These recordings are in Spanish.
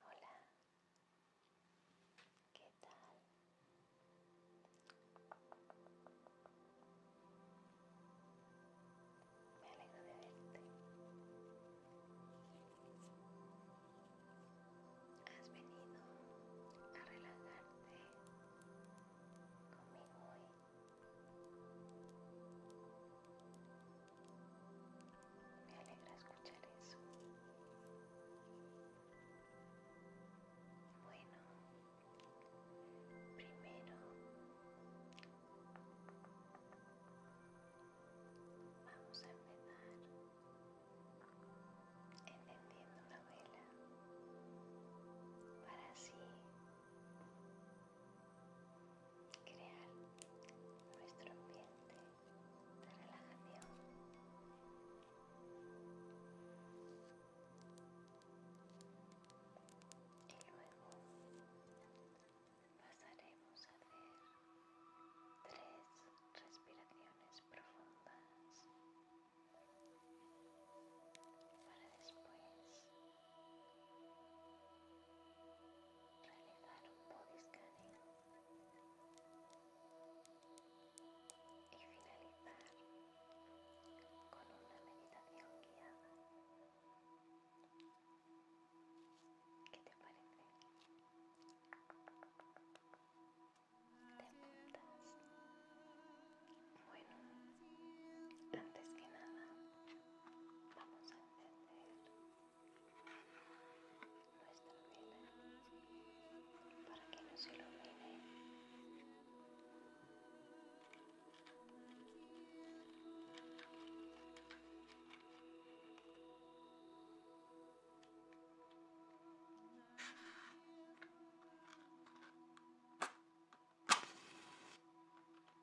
Hola, ¿qué tal? Me alegro de verte. Has venido a relajarte conmigo hoy. Me alegra escuchar eso. Bueno, primero vamos a empezar encendiendo la vela para así crear nuestro ambiente de relajación. Y luego pasaremos a hacer tres respiraciones profundas para después realizar un body y finalizar con una meditación guiada. ¿Qué te parece? ¿Te apuntas? Bueno, antes que nada vamos a encender nuestra vela para que no se lo Vamos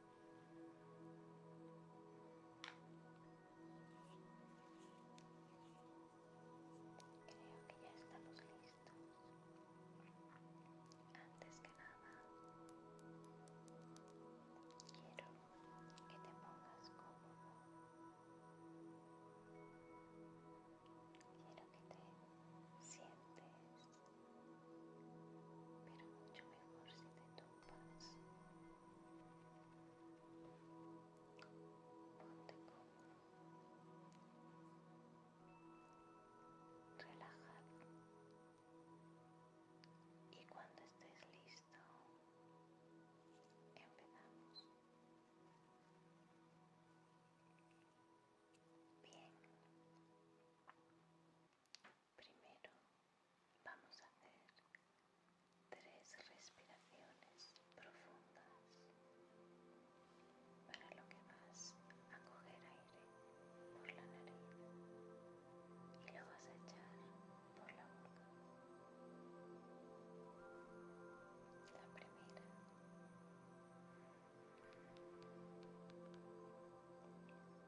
Creo que ya estamos listos. Antes que nada, quiero que te pongas cómodo. Quiero que te sientes, pero mucho mejor si te tumbas. Ponte relajado y cuando estés listo empezamos. Bien, Primero vamos a hacer tres respiraciones profundas para lo que vas a coger aire por la nariz y lo vas a echar por la boca. La primera.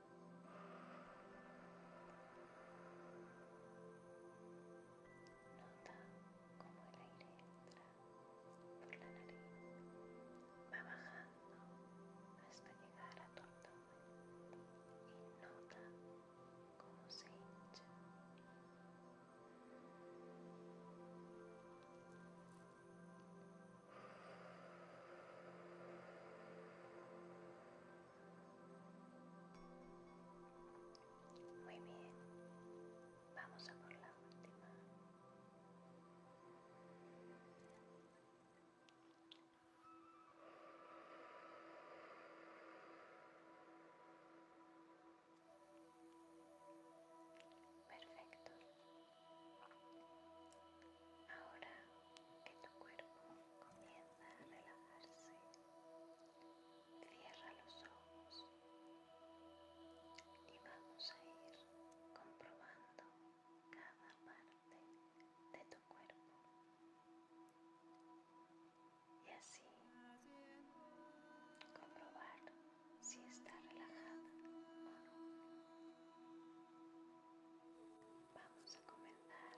Nota como el aire entra por la nariz, va bajando hasta llegar a tu abdomen y nota cómo se hincha. Muy bien, vamos a por la última. Perfecto. Ahora que tu cuerpo comienza a relajarse. Cierra los ojos y vamos a ir comprobando cada parte de tu cuerpo. Y así comprobar si está relajada o no. Vamos comenzar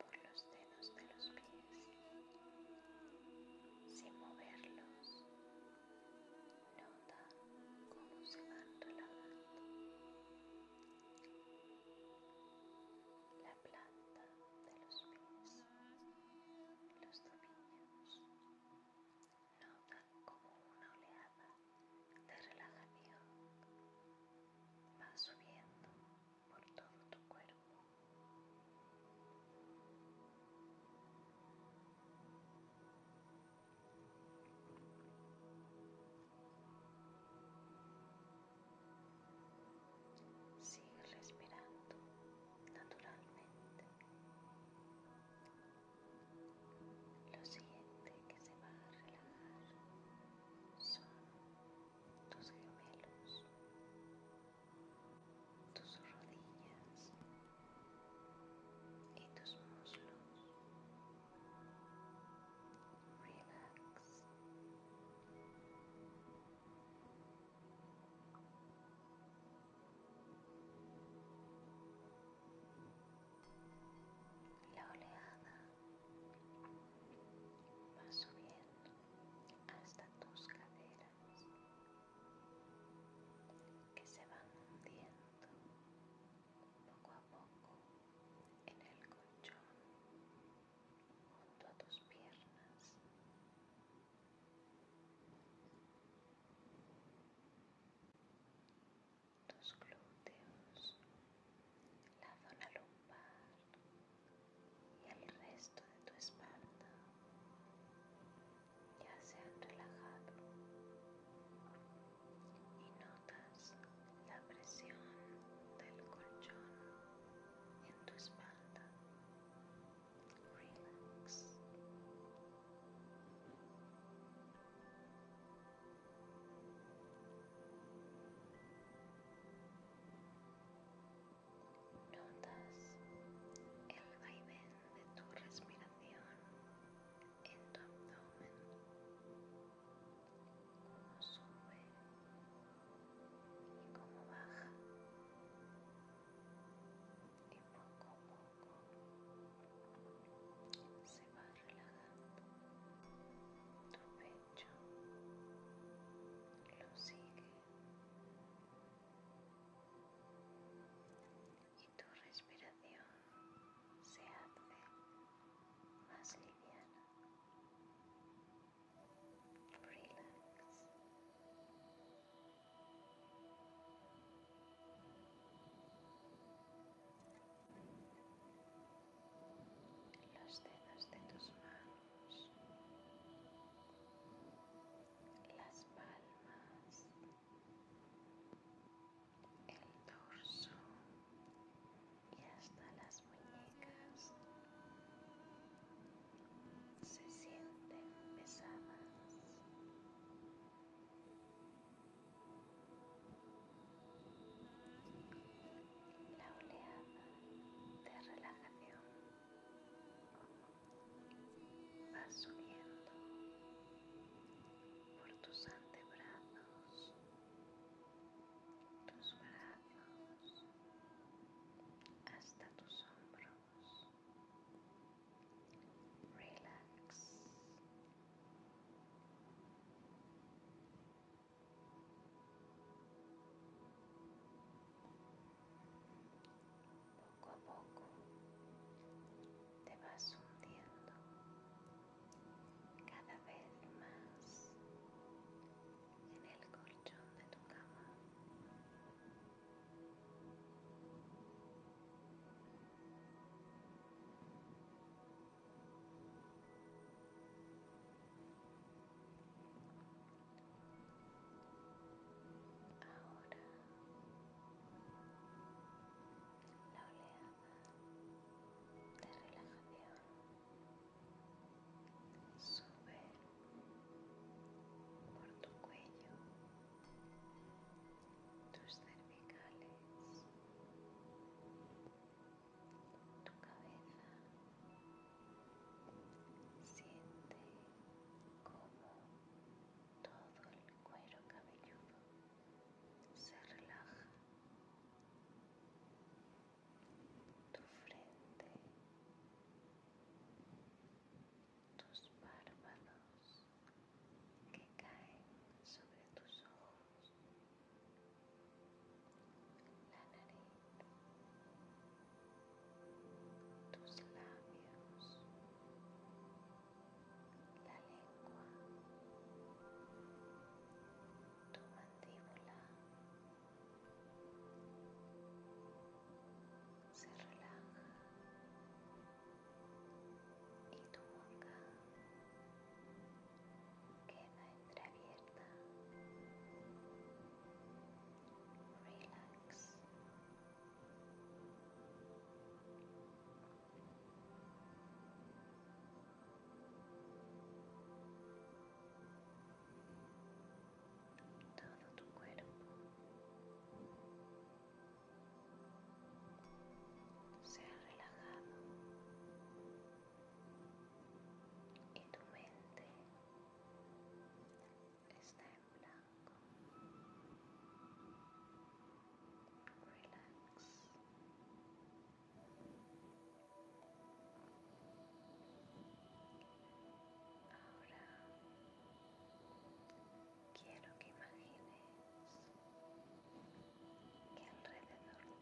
por los dedos de los pies, sin moverlos. Nota como se van relajando. La planta de los pies, los tobillos. Nota como una oleada de relajación va subiendo por todo tu cuerpo. Sigue respirando naturalmente lo siguiente que se va a relajar son tus gemelos, tus rodillas y tus muslos. Relax. La oleada va subiendo hasta tus caderas que se van hundiendo poco a poco en el colchón junto a tus piernas tus glúteos, la zona lumbar y el resto de tu espalda ya se han relajado y notas la presión del colchón en tu espalda. Relax. Notas el vaivén de tu respiración en tu abdomen, como sube y como baja, y poco a poco se va relajando tu pecho, lo sigue y tu respiración se hace más liviana. Relax los dedos de tus manos, las palmas, el torso y hasta las muñecas se sienten pesadas la oleada de relajación va subiendo por tus antebrazos, tus brazos, hasta tus hombros. Relax. Poco a poco te vas hundiendo cada vez más en el colchón de tu cama. Ahora la oleada de relajación sube por tu cuello tus cervicales, tu cabeza. Siente como todo el cuero cabelludo se relaja. Tu frente, tus párpados, que caen sobre tus ojos, la nariz, tus labios, la lengua, tu mandíbula se relaja y tu boca queda entreabierta. Relax. Todo tu cuerpo sea relajado y tu mente está en blanco. Ahora quiero que imagines que alrededor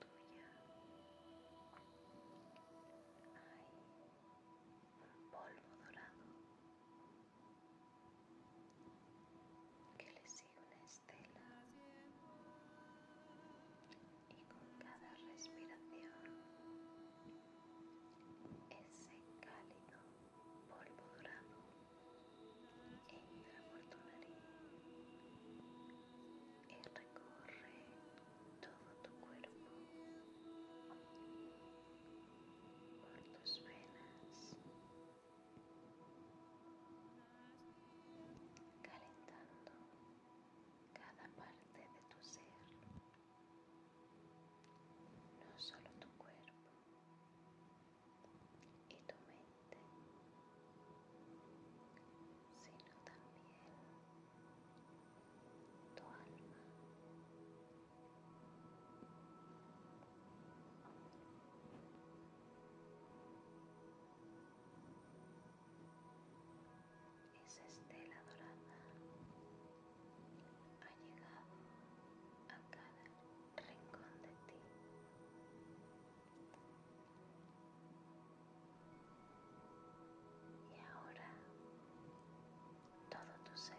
tuya hay un polvo dorado que le sigue una estela y con cada respiración ese cálido polvo dorado entra por tu nariz y recorre todo tu cuerpo, por tus venas, calentando cada parte de tu ser, no solo tu cuerpo y tu mente, sino también tu alma. Esa estela dorada ha llegado a cada rincón de ti. Y ahora todo tu ser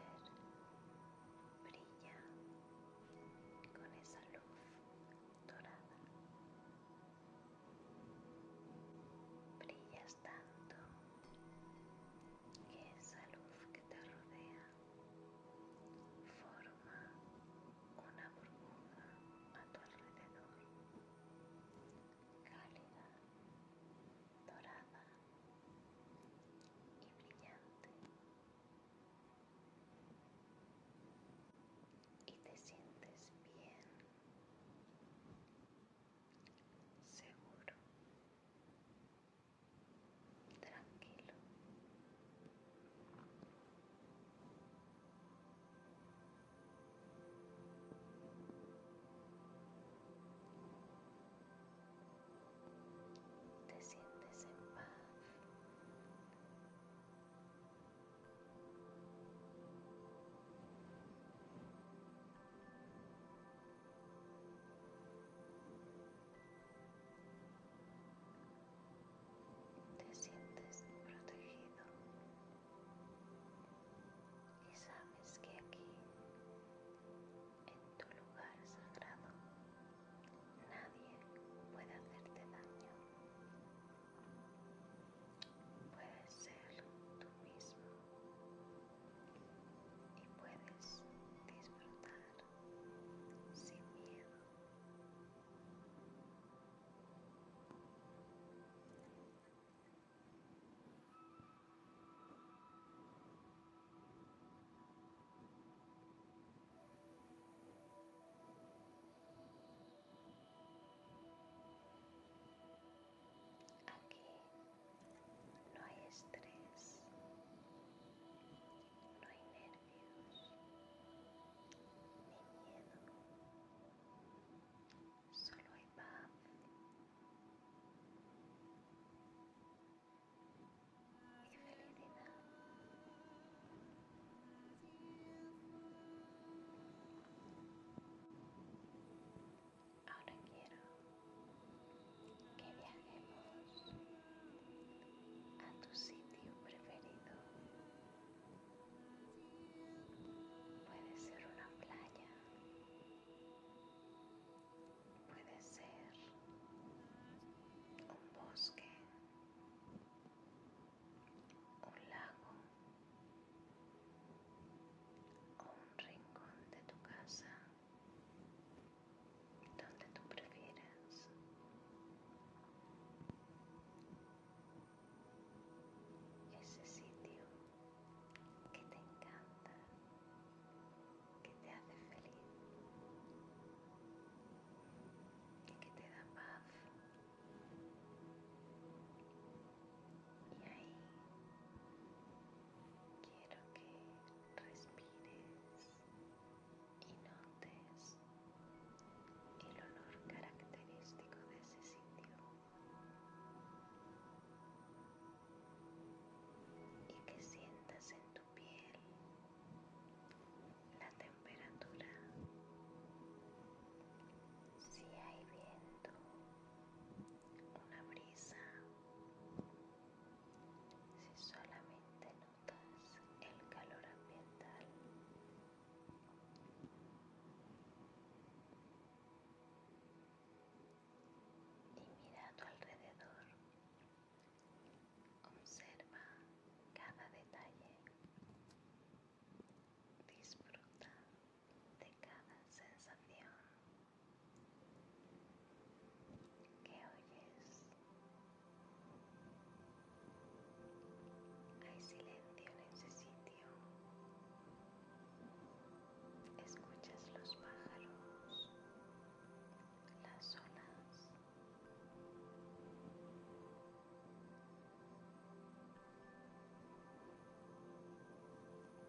brilla con esa luz dorada. Brillas tanto que esa luz que te rodea Forma una burbuja a tu alrededor, cálida, dorada y brillante. Y te sientes bien, seguro tranquilo. Te sientes en paz. Te sientes protegido y sabes que aquí, en tu lugar sagrado, nadie puede hacerte daño. Puedes ser tú mismo y puedes disfrutar sin miedo. Aquí no hay estrés, no hay nervios, ni miedo, solo hay paz. Y felicidad. Ahora quiero que viajemos a tu sitio preferido. Puede ser una playa, puede ser un bosque, un lago o un rincón de tu casa donde tú prefieras. Ese sitio que te encanta, que te hace feliz y que te da paz. Y ahí quiero que respires y notes el olor característico de ese sitio y que sientas en tu piel la temperatura si hay viento una brisa si solamente notas el calor ambiental, y mira a tu alrededor, observa cada detalle, disfruta de cada sensación. ¿Qué oyes? Hay silencio en ese sitio. Escuchas los pájaros, las olas.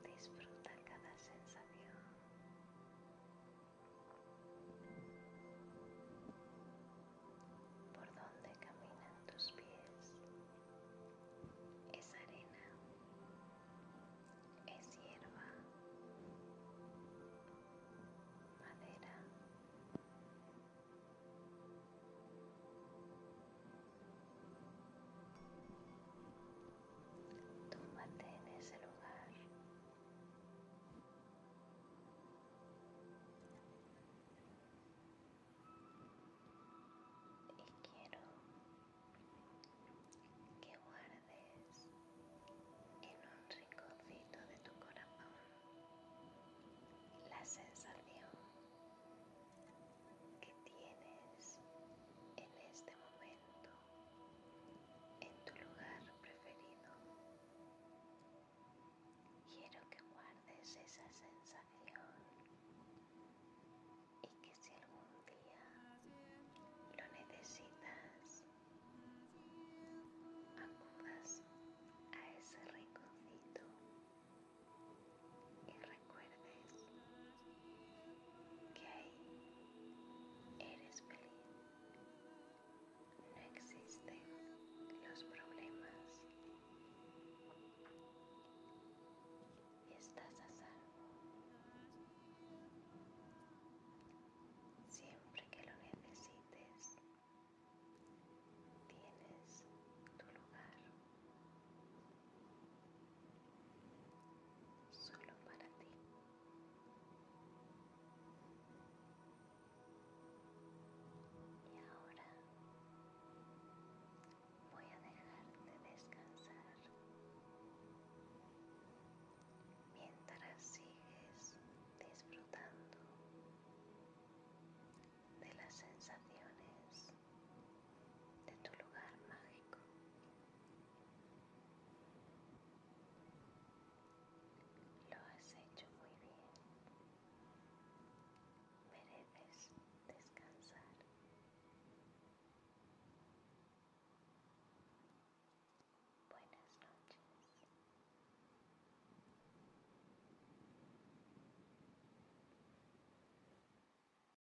Disfruta cada sensación por donde caminan tus pies. Es arena, es hierba, madera. Tómate en ese lugar. Y quiero que guardes en un rinconcito de tu corazón la sensación que tienes en este momento en tu lugar preferido. Quiero que guardes esa sensación y que si algún día lo necesitas, acudas a ese rinconcito recuerdes que ahí eres feliz. No existen los problemas. Estás a salvo. Siempre que lo necesites, tienes tu lugar solo para ti. Y ahora voy a dejarte descansar mientras sigues disfrutando de las sensaciones de tu lugar mágico. Lo has hecho muy bien. Mereces descansar. Buenas noches.